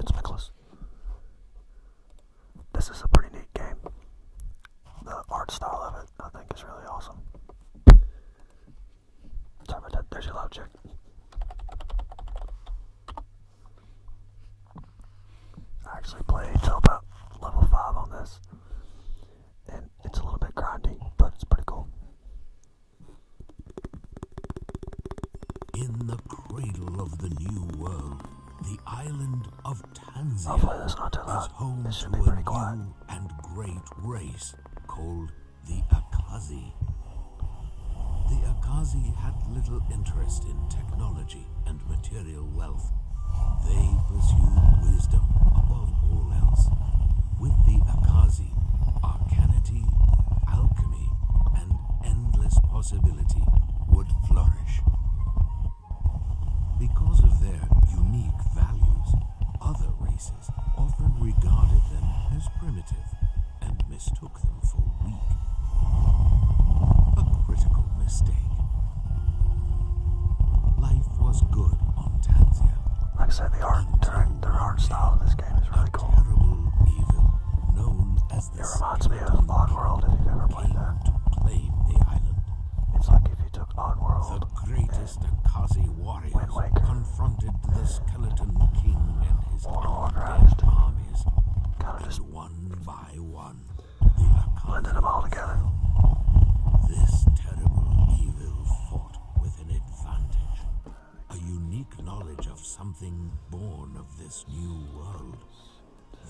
It's Nicholas. This is a pretty neat game. The art style of it, I think, is really awesome. Sorry about that. There's your loud I actually played till about level 5 on this, and it's a little bit grindy, but it's pretty cool. In the cradle of the new world, the island of Tanzania Hopefully not too loud. is home to a pretty new and great race called the Akazi. The Akazi had little interest in technology and material wealth. They pursued wisdom above all else. With the Akazi, alchemy, and endless possibility would flourish. Because of their unique values, other races often regarded them as primitive and mistook them for weak. A critical mistake. Life was good on Tanzia. Like I said, the art, their, art style of this game is really cool. terrible evil known as has the it reminds me of Oddworld if you've ever played that. To claim the island. It's like if you took World. The greatest Kazi warriors confronted the Skeleton King and his dead armies. Kind of one by one. The blended them all together. This terrible evil fought with an advantage a unique knowledge of something born of this new world.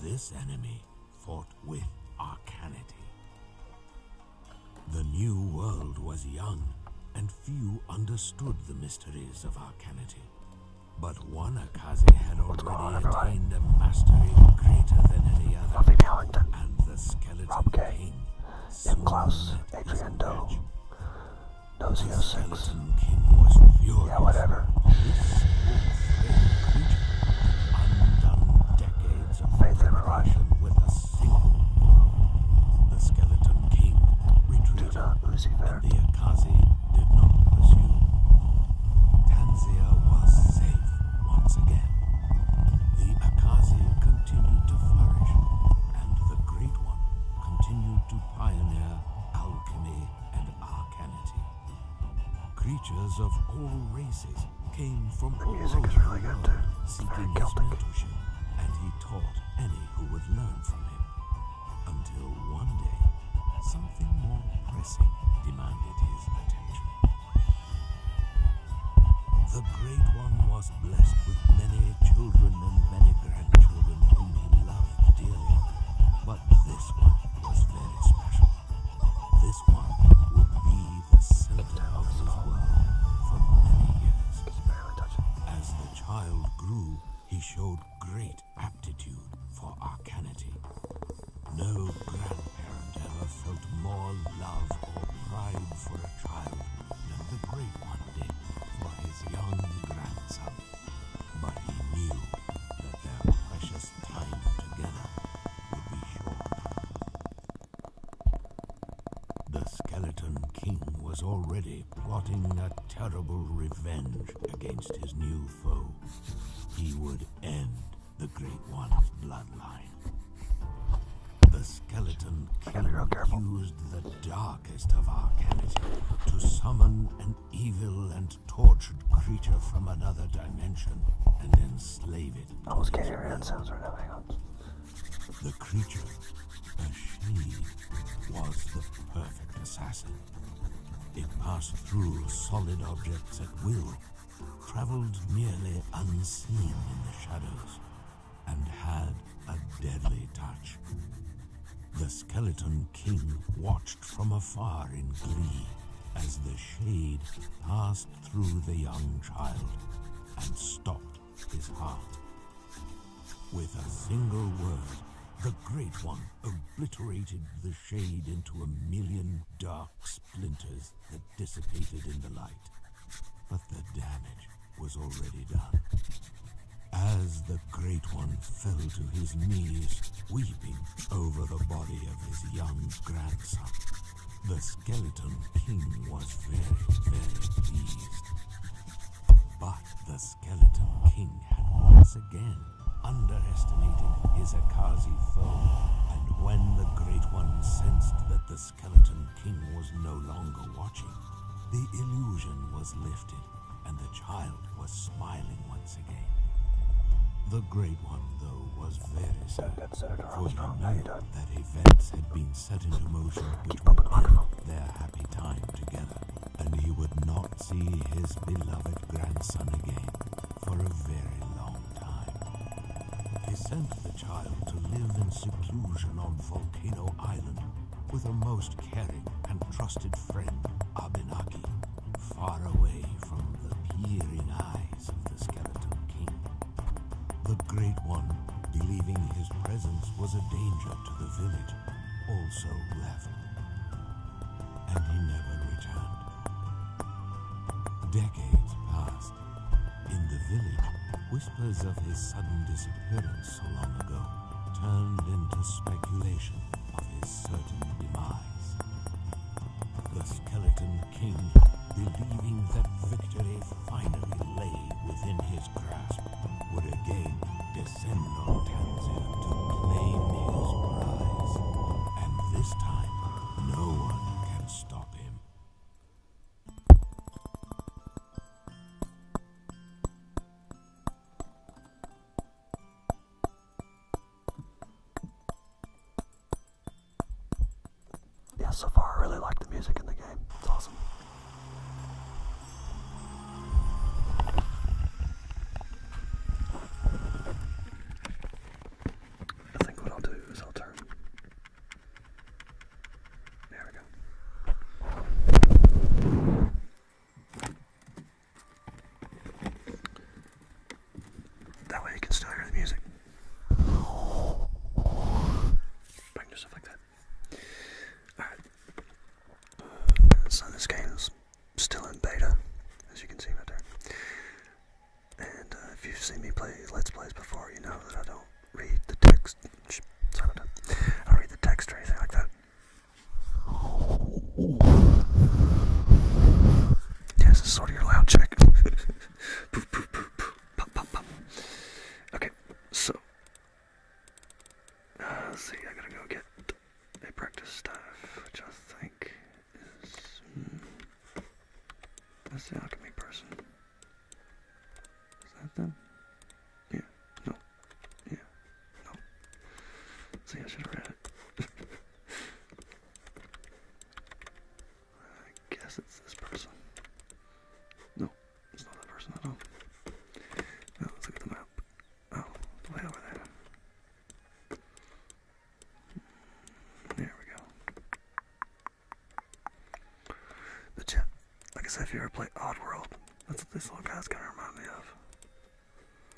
This enemy fought with arcanity. The new world was young, and few understood the mysteries of arcanity. But one Akaze had already attained a mastery greater than any other, and the skeleton Rob K. king. Jim Klaus, Adriando. 006. Yeah, whatever. Faith ever rush. The skeleton king retreated, Do not Lucifer. the Akazi did not pursue. Tanzia was safe once again. The Akazi continued to flourish, and the Great One continued to pioneer alchemy and arcanity. Creatures of all races came from all over the really seeking his mentorship, and he taught any who would learn from him. Until one day, something more pressing demanded his attention. The Great One was blessed with many children children many grandchildren whom he loved dearly. But this one was very special. This one would be the center of his world for many years. As the child grew, he showed great aptitude for arcanity. No grandparent ever felt more love or pride for a child than the great one did for his young grandson but he knew that their precious time together would be short. The Skeleton King was already plotting a terrible revenge against his new foe. He would end the Great One's bloodline. The Skeleton King used the darkest of arcana to summon evil and tortured creature from another dimension and enslave it. I was getting around sounds right now, hang on. The creature, a she, was the perfect assassin. It passed through solid objects at will, traveled nearly unseen in the shadows, and had a deadly touch. The Skeleton King watched from afar in glee as the shade passed through the young child and stopped his heart. With a single word, the Great One obliterated the shade into a million dark splinters that dissipated in the light. But the damage was already done. As the Great One fell to his knees, weeping over the body of his young grandson, the Skeleton King was very, very pleased. But the Skeleton King had once again underestimated his Akazi foe, and when the Great One sensed that the Skeleton King was no longer watching, the illusion was lifted and the child was smiling once again. The Great One, though, was very sad, for he knew that events had been set into motion which would end their happy time together, and he would not see his beloved grandson again for a very long time. He sent the child to live in seclusion on Volcano Island, with a most caring and trusted friend, Abenaki, far away from the peering eyes of the Skeleton King. The Great One, believing his presence was a danger to the village, also left. And he never returned. Decades passed. In the village, whispers of his sudden disappearance so long ago turned into speculation of his certain demise. The Skeleton King, believing that victory finally lay within his grasp, would again descend on Tanzir to claim his prize. And this time, no one can stop him. Yeah, so far I really like the music in the game. It's awesome. I think what I'll do is I'll turn. There we go. That way you can still hear the music. I can do stuff like that. Alright. So this game's still in beta, as you can see right there. And uh, if you've seen me play Let's Plays before, you know that I don't read the text. Sorry about that. I don't read the text or anything like that. Yes, it's sort of your loud check. Okay, so. Uh, let's see, I gotta go get a practice staff, which I think is. Hmm, that's the alchemy person. Is that them? Yeah, no. Yeah. No. See, I should have read it. I guess it's this person. No, it's not that person at all. Now oh, let's look at the map. Oh, the way over there. There we go. The chat. Like I said, if you ever play Oddworld, that's what this little guy's gonna remind me of.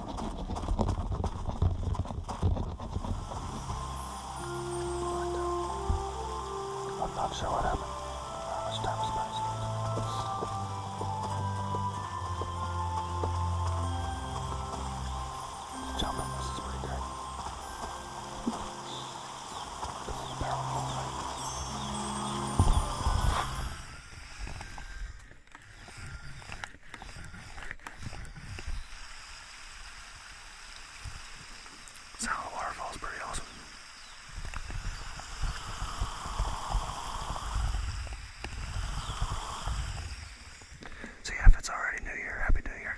But, uh, I'm not sure what happened. How much time was passed. Jumping, this is pretty good. Barrel roll. Sound of the waterfall is pretty awesome. So yeah, if it's already New Year, Happy New Year.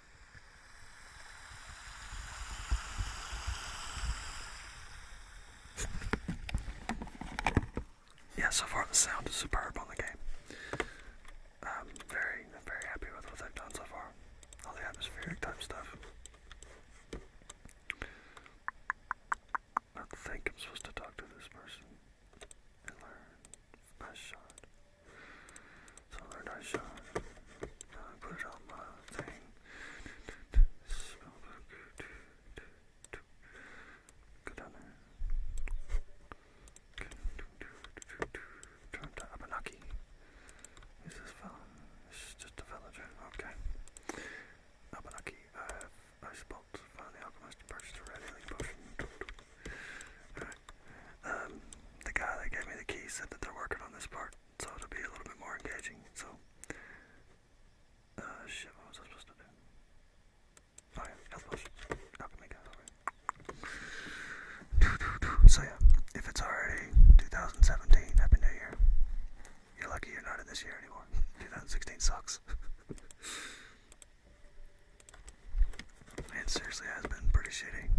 Yeah, so far the sound is superb on the game. very, very happy with what they've done so far. All the atmospheric type stuff. I think I'm supposed to talk to this person and learn. shot. 从而他想他不知道吗？在希望给他们。Turn to Abenaki. Is this film? It's just a villager. Okay. Abenaki, I I spot found the alchemist and purchased a red alien potion. the guy that gave me the key said that they're working on this part so it be a little bit more engaging. So, uh, shit, what was I supposed to do? Oh yeah, health potion. So yeah, if it's already 2017, Happy New Year. You're lucky you're not in this year anymore. 2016 sucks. it seriously has been pretty shitty.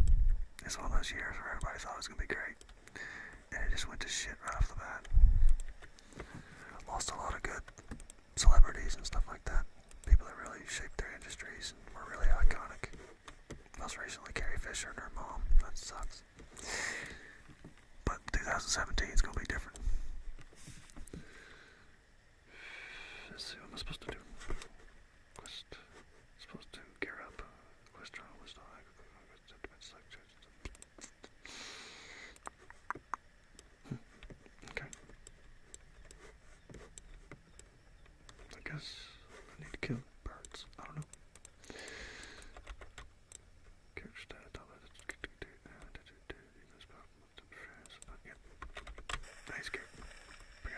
It's one of those years where everybody thought it was gonna be great and it just went to shit right off the bat. Lost a lot of good celebrities and stuff like that. People that really shaped their industries and were really iconic. Most recently, Carrie Fisher and her mom. That sucks. But 2017 is going to be different. Let's see what am supposed to do. Quest supposed to gear up. Quest journal was not Okay. I guess I need to kill birds. I don't know. Nice game. we go.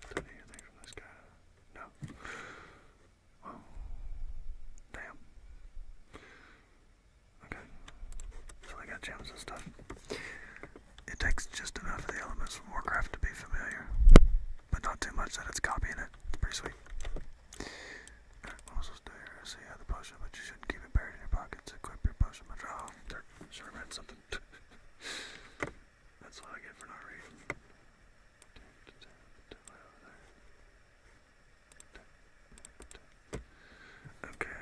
Did I hear anything from this guy? No. Well, damn. Okay. So they got gems and stuff. It takes just enough of the elements from Warcraft to be familiar, but not too much that it's copying it. It's pretty sweet. Drink muscles do your SE out the potion, but you shouldn't keep it buried in your pockets. Equip your potion by draw. Oh, sure read something. That's what I get for not reading. Okay,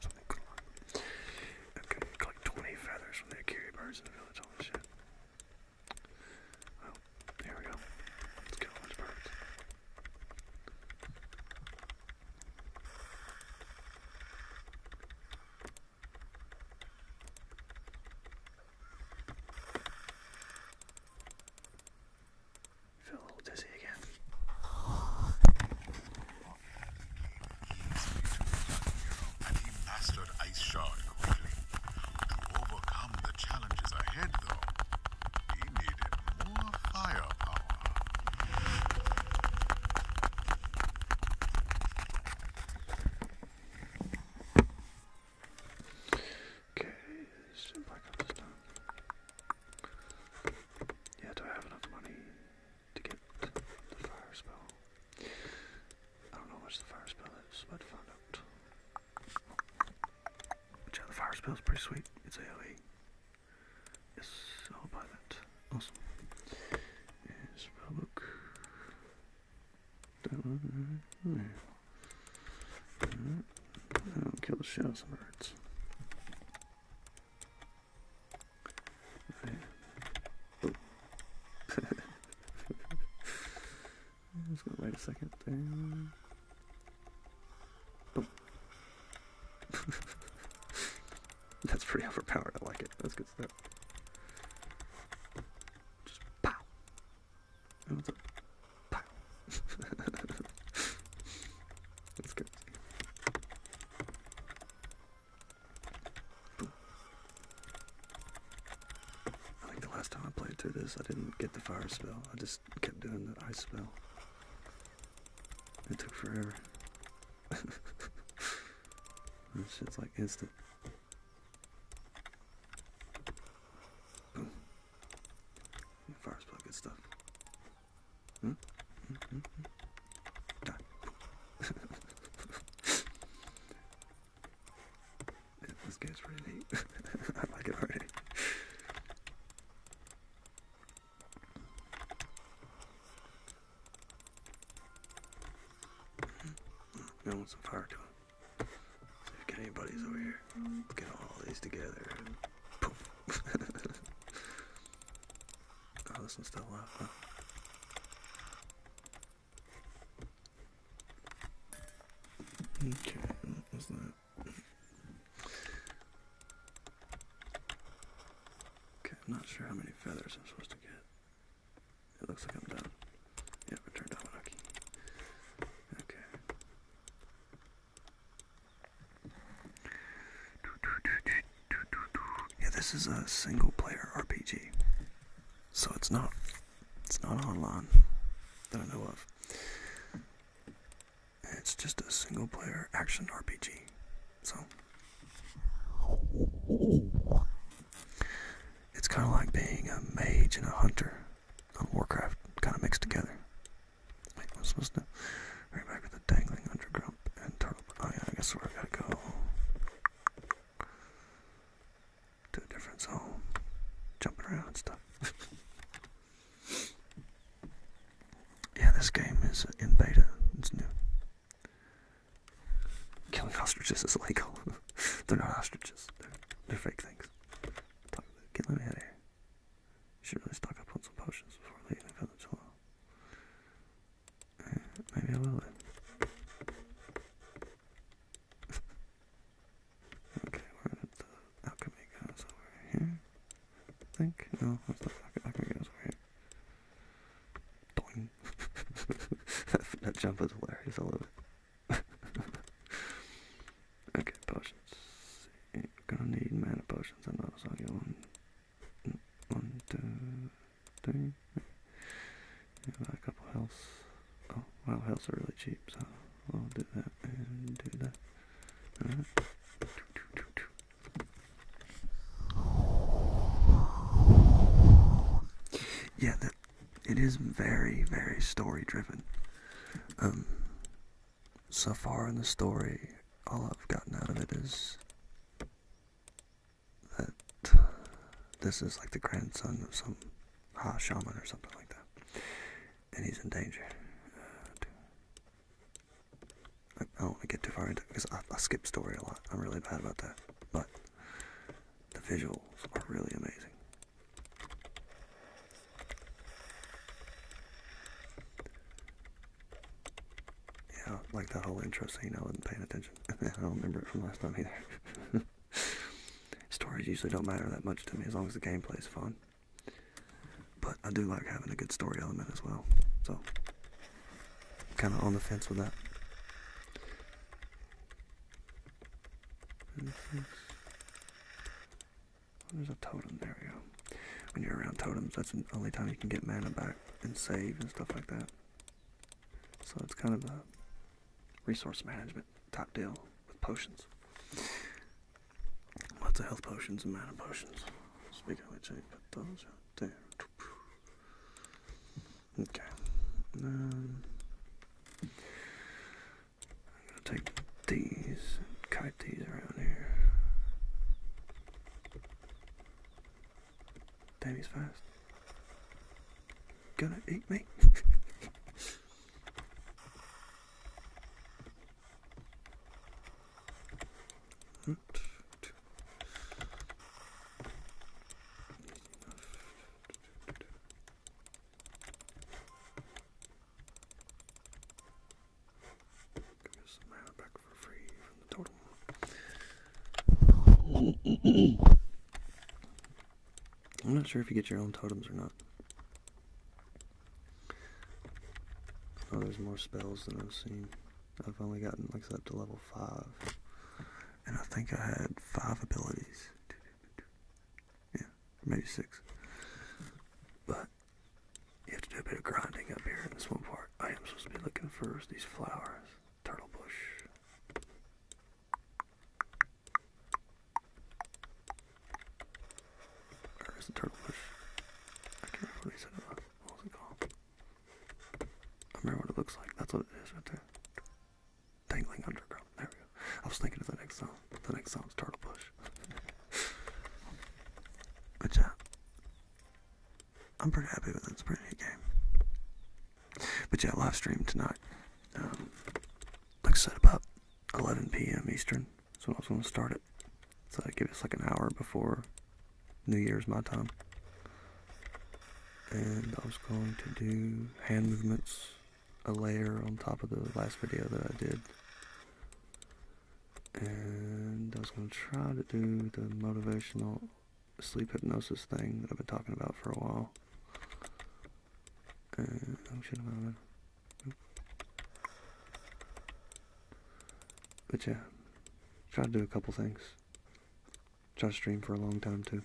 something I collect 20 feathers from the Akiri birds in the village, holy shit. Well, here we go. Let's get a Feel a little dizzy again and he mastered Ice Shard quickly. To overcome the challenges ahead, though, Okay, let back up this time. Yeah, do I have enough money? to get the fire spell. I don't know how much the fire spell is, but find out. yeah, uh, the fire spell is pretty sweet. It's AoE. Yes, I'll buy that. Awesome. And spellbook. That one uh, uh, kill the shadows and I'm just gonna wait a second down. Boom. That's pretty overpowered, I like it. That's good stuff. Just pow. Oh, what's up? Pow. That's good. I think the last time I played through this, I didn't get the fire spell. I just kept doing the ice spell. It took forever. this shit's like instant. Boom. Fire spell, good stuff. Hmm? Hmm, hmm, hmm. this gets really. I like it already. We mm-hmm. want some fire to him. If get anybody's over here, let's get all these together. Poof. Oh, Okay, Okay, I'm not sure how many feathers I'm supposed to get. It looks like I'm done. Yep, return Dominaki. Okay. Yeah, this is a single player RPG. So it's not it's not online that I know of. It's just a single player action RPG. So it's kind of like being a mage and a hunter on Warcraft, kind of mixed together. Wait, I was supposed to hurry back with the dangling undergrump and turtle. Oh yeah, I guess where I gotta go to different zones, jumping around and stuff. yeah, this game is in beta. It's new. Killing ostriches is illegal. they're not ostriches. They're, fake things. get let out of here. should really stock up on some potions before leaving the village maybe I will then. okay, we're at the alchemy goes here. think. No, that's the alchemy over here. Doing. that jump is hilarious, I love it. okay, potions. gonna need mana potions. I know I saw you one, two, three. Buy a couple healths. Oh, wow, healths are really cheap, so I'll do that and do that. Yeah, that, it is very, very story driven. Um, so far in the story, all I've gotten out of it is that this is like the grandson of some high shaman or something like that, and he's in danger. Uh, I don't want to get too far into it because I skip story a lot. I'm really bad about that, but the visuals are really amazing. Yeah, like that whole intro scene, I wasn't paying attention. I don't remember it from last time either. Stories usually don't matter that much to me as long as the gameplay is fun. But I do like having a good story element as well. So, kind of on the fence with that. there's a totem. There we go. When you're around totems, that's the only time you can get mana back and save and stuff like that. So it's kind of a resource management top deal with potions. Lots of health potions and mana potions. Speaking of which, I put those out there. Okay. Um, I'm going to take these, kite these around here. Damn, he's fast. Gonna eat me? Back I'm not sure if you get your own totems or not. Oh, there's more spells than I've seen. I've only gotten like up to level 5. And I think I had 5 abilities. Yeah, maybe 6. But you have to do a bit of grinding up here in this one part. I am supposed to be looking for these flowers. Turtle Bush. Or is Turtle Bush? I can't remember what he What was it called? I remember what it looks like. That's what it is right there. Dangling Underground. There we go. I was thinking of the next song. The next song's Turtle Bush. Good job. I'm pretty happy with it. It's a pretty neat game. But yeah, live stream tonight. Um, like I said, about 11 p.m. Eastern. So I was going to start it. So give us like an hour before New Year's my time. And I was going to do hand movements, a layer on top of the last video that I did. And I was going to try to do the motivational sleep hypnosis thing that I've been talking about for a while. Uh, but yeah, try to do a couple things. Try to stream for a long time too.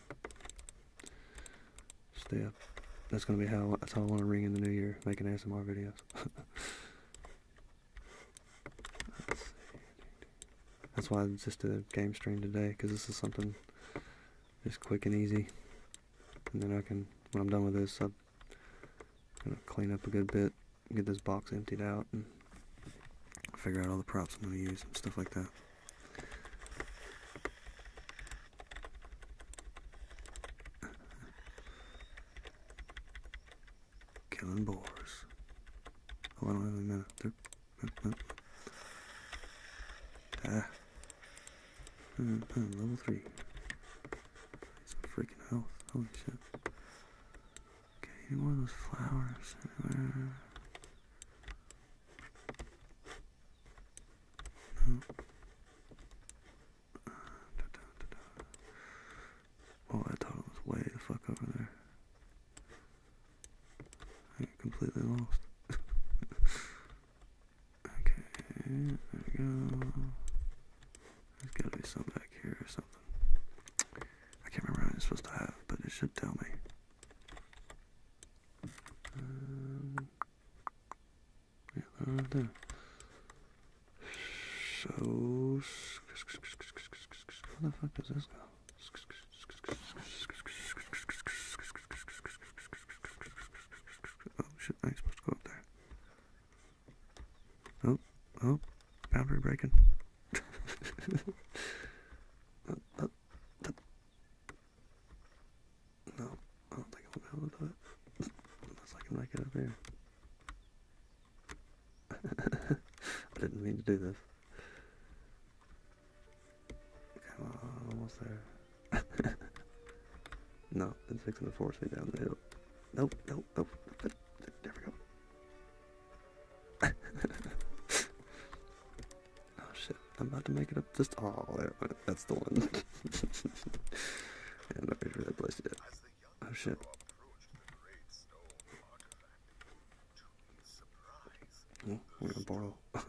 Stay up. That's gonna be how that's how I want to ring in the new year, making ASMR videos. That's why I just did a game stream today, because this is something just quick and easy. And then I can, when I'm done with this, I'm going to clean up a good bit, get this box emptied out, and figure out all the props I'm going to use and stuff like that. Killing boars. Oh, I don't minute. Ah. Level 3. It's freaking health. Holy shit. Okay, any more of those flowers anywhere? No. Uh, da, da, da, was way the fuck over there. I completely lost. okay, there we go. There's gotta be some back here or something. I can't remember what i supposed to have, but it should tell me. Um, yeah, right there. So, where the fuck does this go? Oh shit, I ain't supposed up there. Oh, oh, boundary breaking. no, I don't think I'll to do it. Unless I can make it here. I didn't mean to do this. Come on, almost there. no, it's fixing to force me down the hill. Nope, nope, nope. nope. There we go. oh shit, I'm about to make it up this. Oh, there, that's the one. I'm not sure that place yet. Oh shit. No, we're gonna borrow.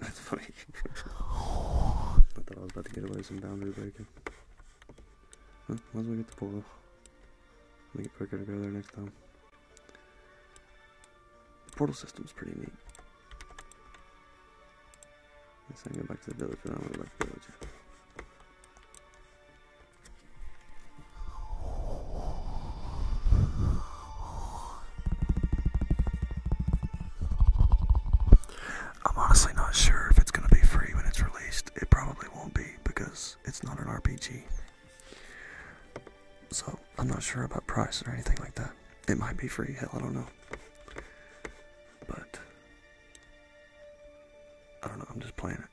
That's funny. I thought I was about to get away some boundary breaking. Huh, might as well get the portal. Make it quicker to go there next time. The portal system is pretty neat. guess I can back to the village, but I don't really like the village. I'm honestly not sure if it's going to be free when it's released. It probably won't be because it's not an RPG. So I'm not sure about price or anything like that. It might be free, hell, I don't know. But I don't know, I'm just playing it.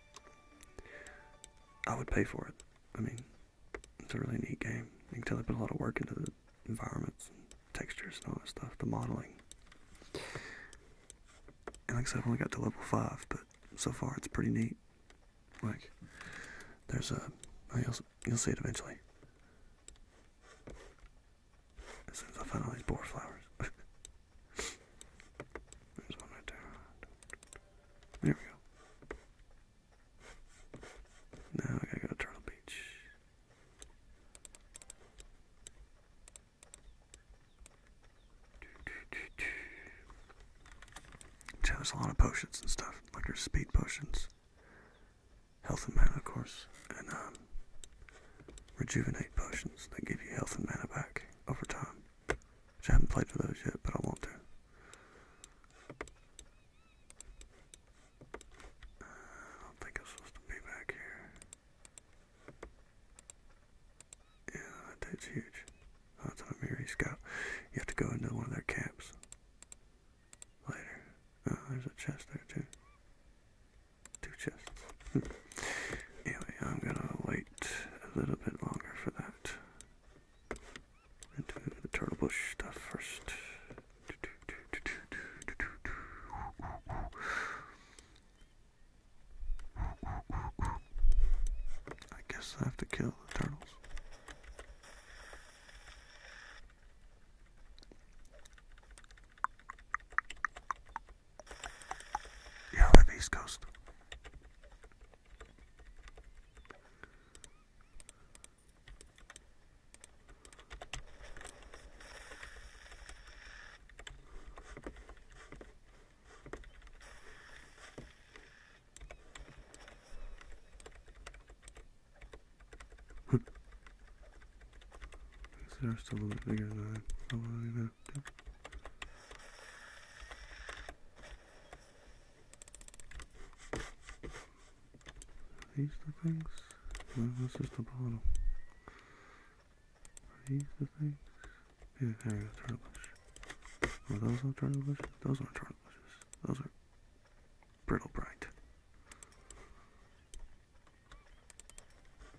I would pay for it. I mean, it's a really neat game. You can tell they put a lot of work into the environments, and textures, and all that stuff, the modeling. And like I said, I've only got to level 5, but so far it's pretty neat. Like, there's a. Oh, you'll, you'll see it eventually. As soon as I find all these boar flowers. There's one right there. There we go. Now I gotta go to Turtle Beach. Yeah, there's a lot of potions and stuff. Like there's speed potions, health and mana, of course, and um, rejuvenate potions that give you health and mana back over time. Which I haven't played for those yet, but I want to. Uh, I don't think I'm supposed to be back here. Yeah, that dude's huge. Oh, it's a Miri You have to go into one of their camps later. Oh, there's a chest there too. Two chests. Anyway, I'm gonna wait a little bit longer for that. And do the turtle bush stuff first. I guess I have to kill the turtles. Yeah, I like the East Coast. They're still a bit bigger than I, I them. These the things? Well, that's just the bottle. Are these the things? Yeah, there you go, turtle bush. Oh, are those all turtle bushes? Those aren't turtle bushes. Those are brittle bright.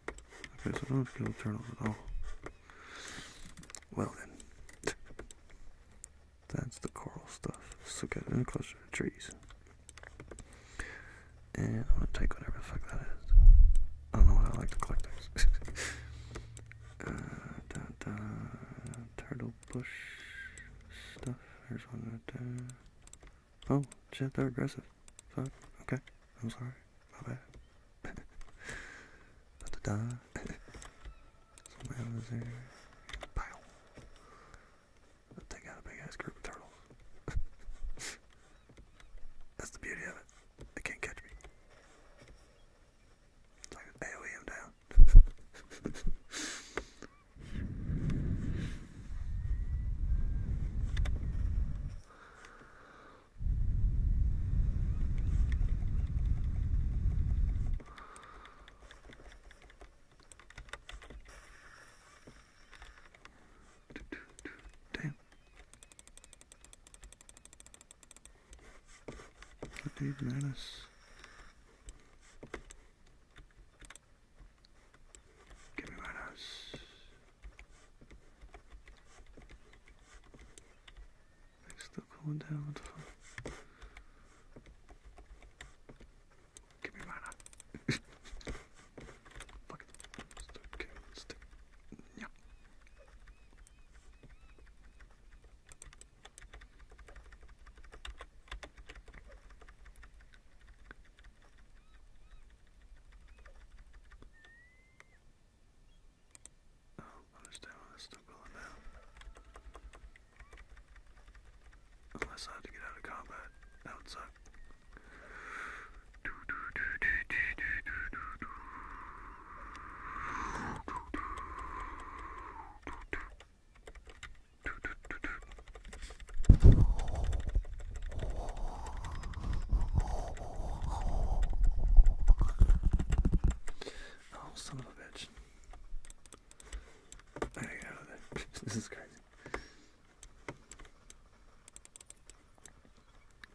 Okay, so I don't kill turtles at all. Well then. That's the coral stuff. Let's So get in closer to trees. And I'm gonna take whatever the fuck that is. I don't know why I like to collect things. uh, da, da, turtle bush stuff. There's one right there. Oh, shit, they're aggressive. Fuck. Okay. I'm sorry my bad. Somebody else is here. Pow. i a big ass group of turtles. That's the beauty of it. They can't catch me. So I can AoE down. Damn. I need menace. Give me menace. Makes the cool down Give me mana. Fuck it. Stick, stick. Yeah. Oh, I'm just down with this still going down. Unless I had to get out of combat. That would suck. Oh, son of a bitch. I gotta this is crazy.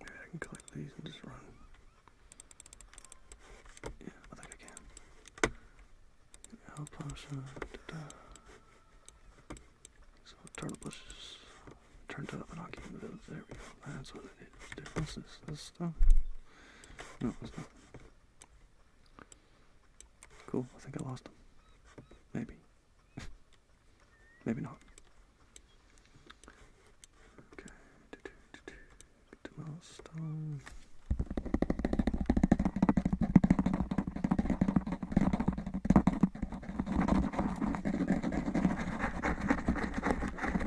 Maybe I can collect these and just run. Yeah, I think I can. Alpasha, da bushes turned up and I'll give you those. There we go. That's what I need to this? stuff? No, it's not. Cool. I think I lost them. Maybe. Maybe not. Okay. Get the milestone. Abenaki, Abenaki,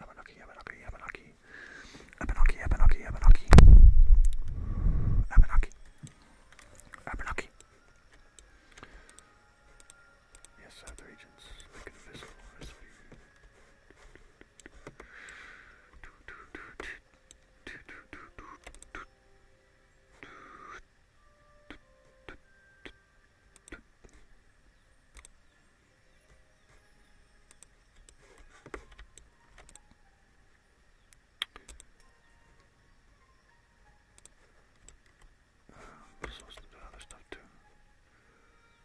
Abenaki, Abenaki, Abenaki, Abenaki, Abenaki, Abenaki, Abenaki. Yes, I have the regents. Make it invisible. Recipe. I'm supposed to do other stuff too.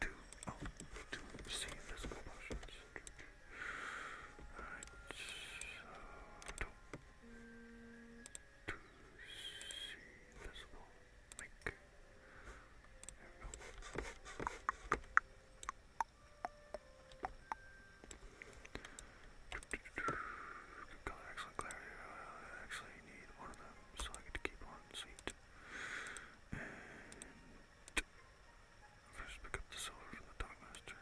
to, oh, to see physical potions. Alright, so to, to see physical, make, I actually need one of them so I get to keep on seat. And First pick up the silver from the Dark Master.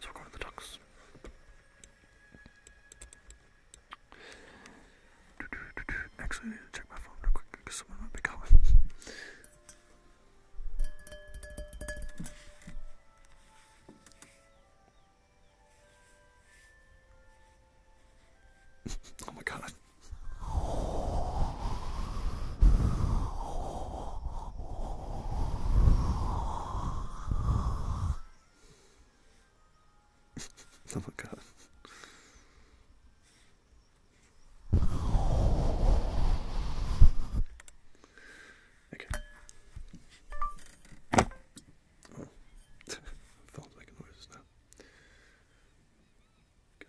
So we're going to the ducks. Actually, need to check my phone real quick because someone might be calling oh my god. oh my god. Okay. Oh. Phone's making noises now. Got it.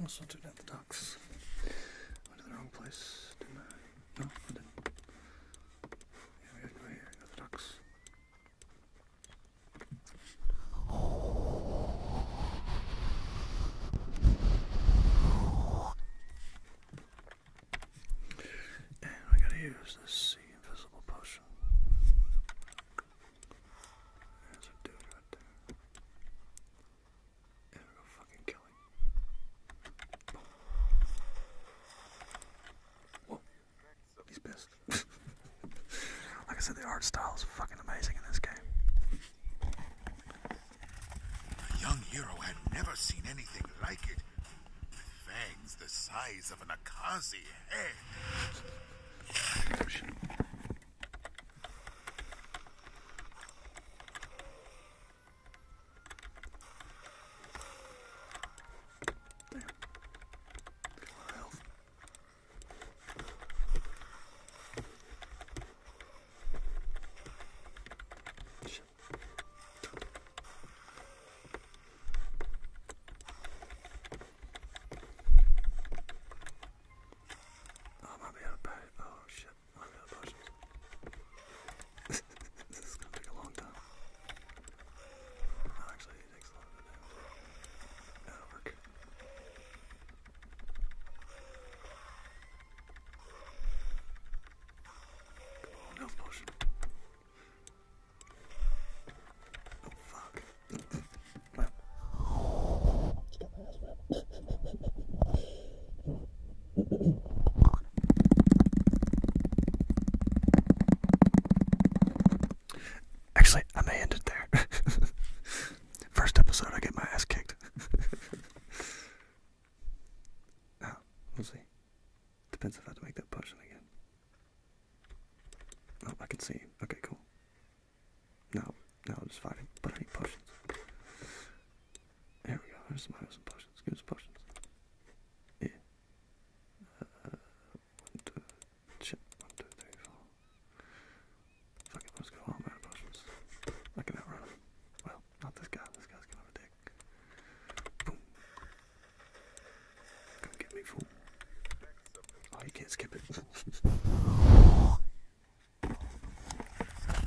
Also took out the ducks. Went to the wrong place, didn't I? No, I didn't. Yeah, we have no here, got the ducks. And we're to use this sea invisible potion. There's a dude right there. fucking kill him. He's pissed. Like I said, the art style is fucking amazing in this game. The young hero had never seen anything like it. fangs the size of an Akazi head. Damn. Oh, I might be out of power. Oh shit, I might be out of potions. this is gonna take a long time. No, actually, it takes a lot of time. That'll work on, potion. Oh fuck. Actually, I may end it there. First episode, I get my ass kicked. oh, we'll see. Depends if I have to make that potion again. Oh, I can see. Okay, cool. No, no, I'm just fighting. But I need potions. There we go. There's some, some potions. Give us potions. Yeah. Uh, Shit, one, two, three, four. Fuck it, go oh, all I can outrun Well, not this guy, this guy's gonna have a dick. Boom. Come get me, fool. Oh, you can't skip it.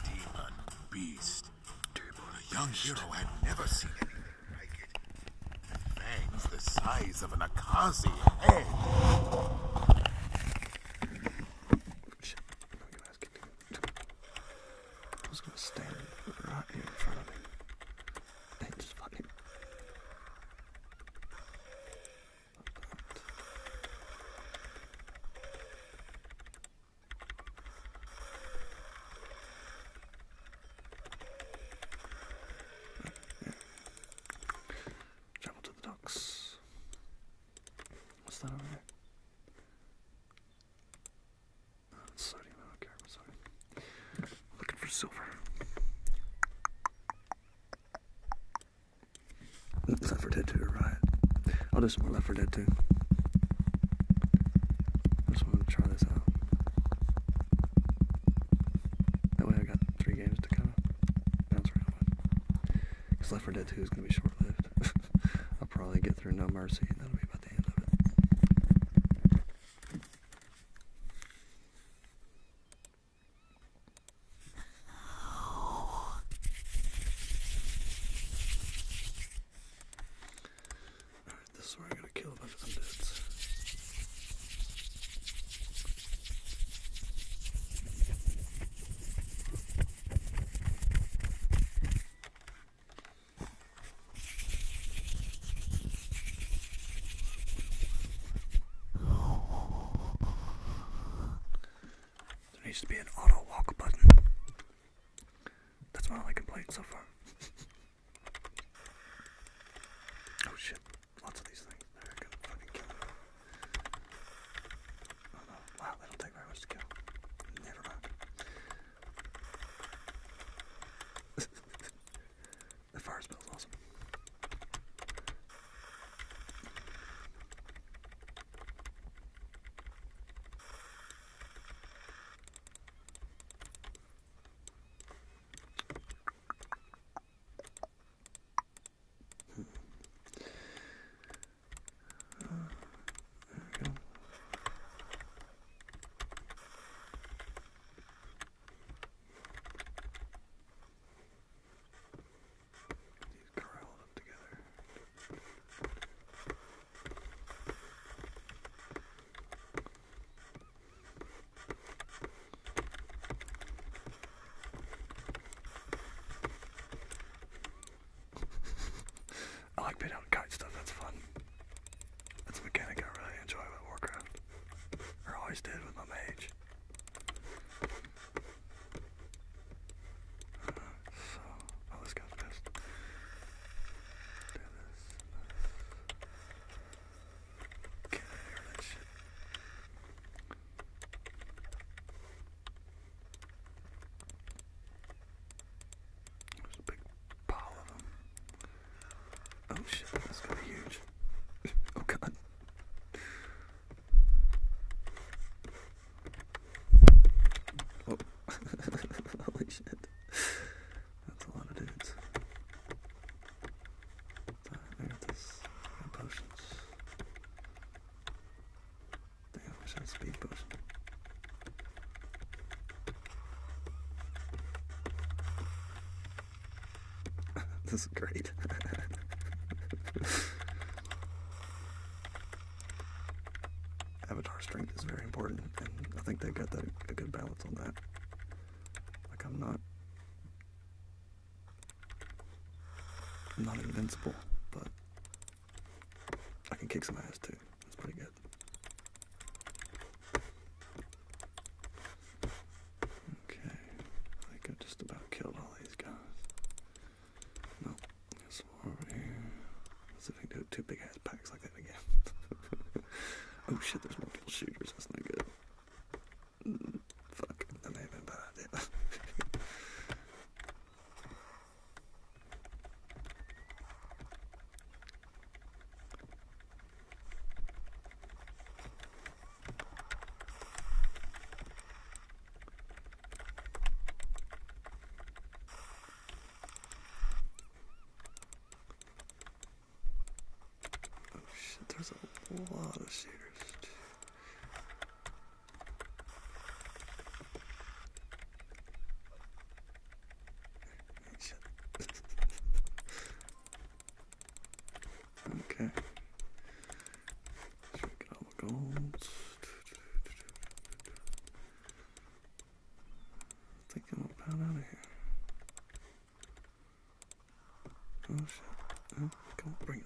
Demon beast. Demon, a young hero had never seen anything like it. Fangs the size of an Akazi egg. Shit, no, you guys can do it. I was gonna stand right here in front of me. And just fucking. Travel to the docks. What's that over there? Oh, it's I don't care, Looking for silver. Left 4 Dead 2, right? I'll oh, do some more Left 4 Dead 2. I just want to try this out. That way I got three games to kind of bounce around. Because Left 4 Dead 2 is going to be short lived. I'll probably get through No Mercy, and that'll be about the end of it. Alright, this is where i going to kill a bunch of undeads. There needs to be an auto walk button. That's not all I can play so far. Oh shit. Lots of these things. There I go. Fucking kill them. Oh, wow, that'll take very much to kill. Never mind. the fire spell's awesome. Uh, there These corralled up together. I like being out to kite stuff, that's fun. That's a mechanic I really enjoy with Warcraft. Or always did with my mage. Uh, so, oh this guy's pissed. Do this, this. Can't hear there's a big pile of them. Oh shit, that's gonna be huge. oh god. Oh. Holy shit. That's a lot of dudes. Alright, there's potions. this is great. Avatar strength is very important, and I think they got that, a good balance on that. Like, I'm not I'm not invincible, but I can kick some ass too. That's pretty good. Okay, I think I just about killed all these guys. Nope, there's more over here. Let's see if I do two big ass packs like that again. oh shit, there's multiple shooters. That's not good. Fuck, that may have been a bad idea. Oh shit, there's a lot of shooters okay. Should we get all the gold? I think I'm going out of here. Oh shit. Oh, come on, bring it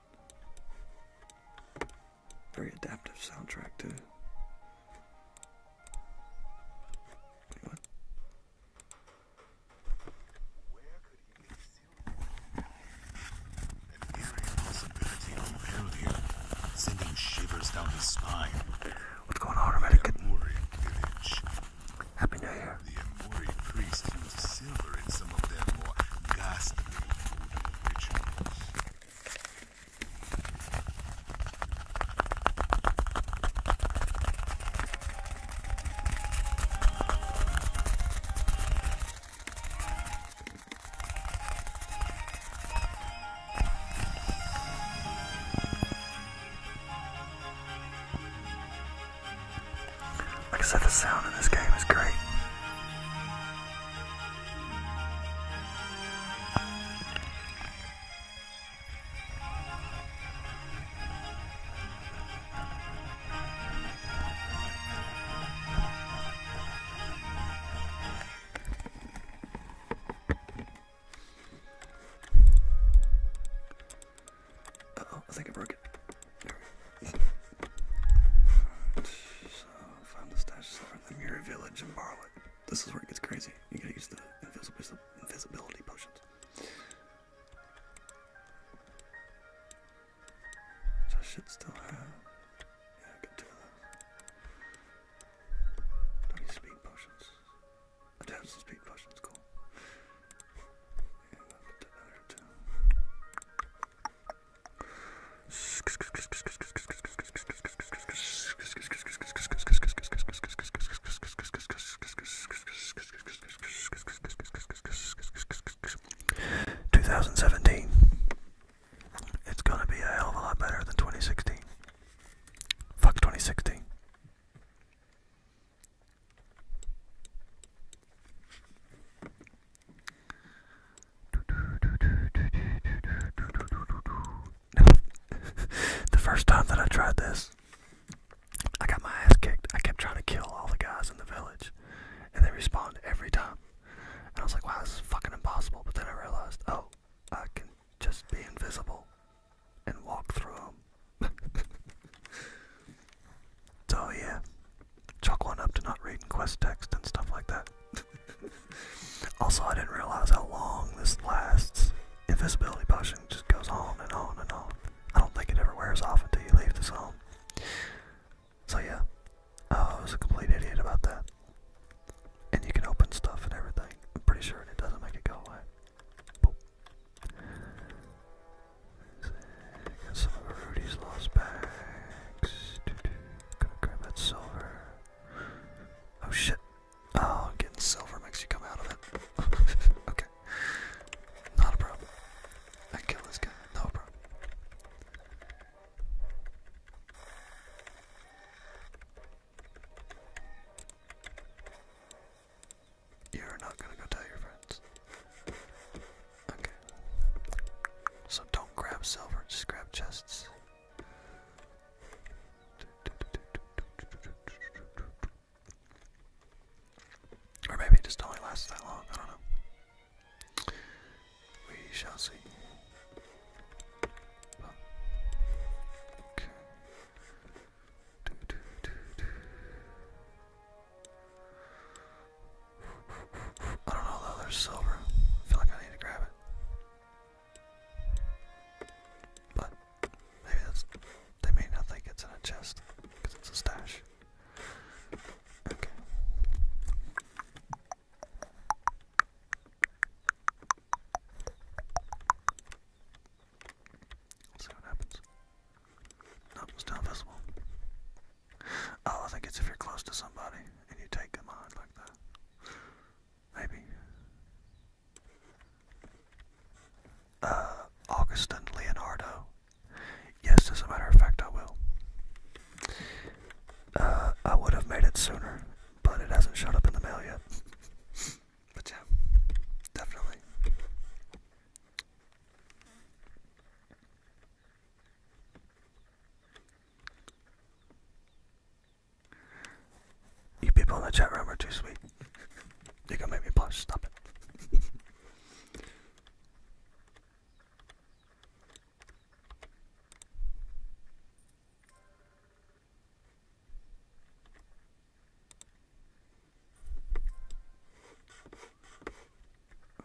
Very adaptive soundtrack too. what? Where could he leave Celia? An eerie possibility unveiled here, sending shivers down his spine. What's going on, American? Happy New Year. The Amori priests used silver in some of their more ghastly rituals. Like I said, the sound in this game is great oh, I think I broke it. Right, the stash the Mirror Village in Barlet. This is where it gets crazy. You gotta use the invisibility potions. Which I should still have. Yeah, I can do of those. Don't potions. I do have some speed potions, cool. Yeah, I'll put that there 2017. It's gonna be a hell of a lot better than 2016. Fuck 2016. the first time that I tried this, I got my ass kicked. I kept trying to kill all the guys in the village, and they respawned every time. And I was like, wow, this is fucking impossible. But then I realized, oh, I can just be invisible and walk through them. so, yeah, chalk one up to not reading quest text and stuff like that. also, I didn't realize how long this lasts. Invisibility potion just goes on and on and on. I don't think it ever wears off until you leave this home. So yeah, uh, I was a complete idiot about that. And you can open stuff and everything. I'm pretty sure it doesn't make it go away. some of Rudy's lost bags. Gonna grab that silver. Oh shit. Oh, getting silver makes you come out of it. okay. Not a problem. I kill this guy. No problem. You're not gonna go tell your friends. Okay. So don't grab silver, just grab chests. Or maybe it just only lasts that long, I don't know. We shall see. Okay. I don't know though, there's silver. I feel like I need to grab it. But maybe that's they may not think it's in a chest because it's a stash. Okay. Let's see what happens. Nope, still invisible. Oh, I think it's if you're close to somebody and you take them on like that. Maybe. Uh, Augustin Leonardo. Yes, as a matter of fact, I will. Uh, I would have made it sooner, but it hasn't showed up in the mail yet. but yeah, definitely. You people in the chat room are too sweet. You're gonna make me blush. Stop it.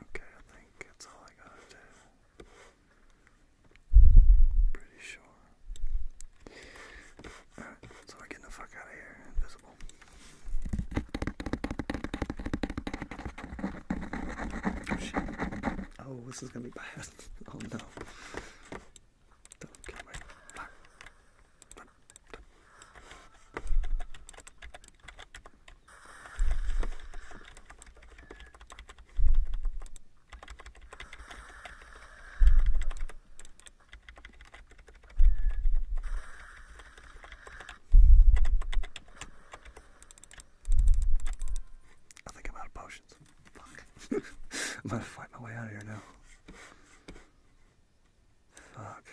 Okay, I think that's all I gotta do. Pretty sure. Alright, so we're the fuck out of here. Invisible. Oh, oh, this is gonna be bad. oh no. I think I'm out of potions. Fuck. I'm gonna fight my way out of here now. Fuck.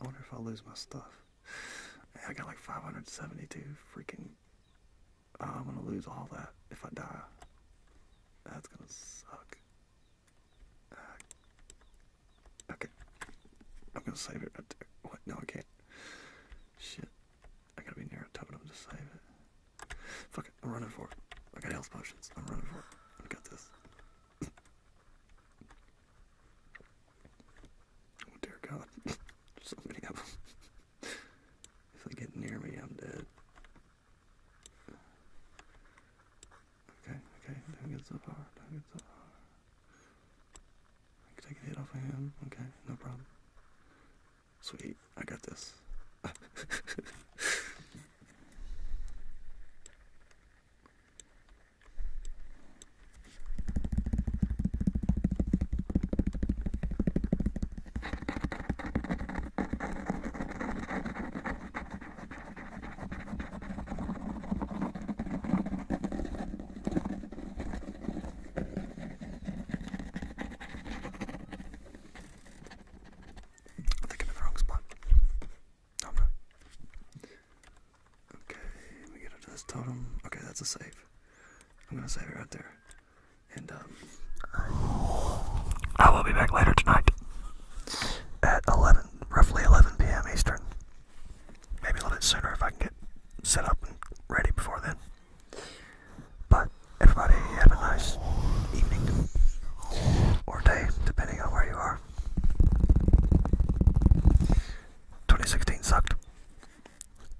I wonder if I'll lose my stuff. I got like 572 freaking I'm gonna lose all that if I die. That's gonna suck. Uh, okay. I'm gonna save it right there. What? No, I can't. Shit. I gotta be near a tub totem to save it. Fuck it. I'm running for it. I got health potions. I'm running for it. I got this. oh, dear God. so many of them. If they get near me, I'm dead. Okay, okay, don't get so far, don't get so far. I can take a hit off of him, okay, no problem. Sweet, I got this. I think I'm in the wrong spot. No, I'm not. Okay, let me get into this totem. Okay, that's a save. I'm gonna save it right there. And um, I will be back later tonight at 11, roughly 11 p.m. Eastern. Maybe a little bit sooner if I can get set up and ready before then. But everybody, have a nice evening or day, depending on where you are. 2016 sucked.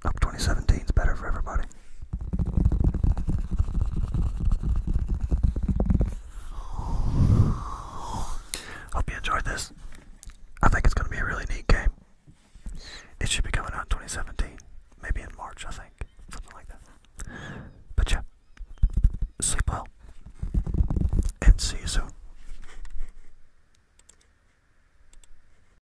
Hope 2017 is better for everybody. Hope you enjoyed this. I think it's going to be a really neat game. It should be coming out in 2017, maybe in March, I think, something like that. But yeah, sleep well, and see you soon.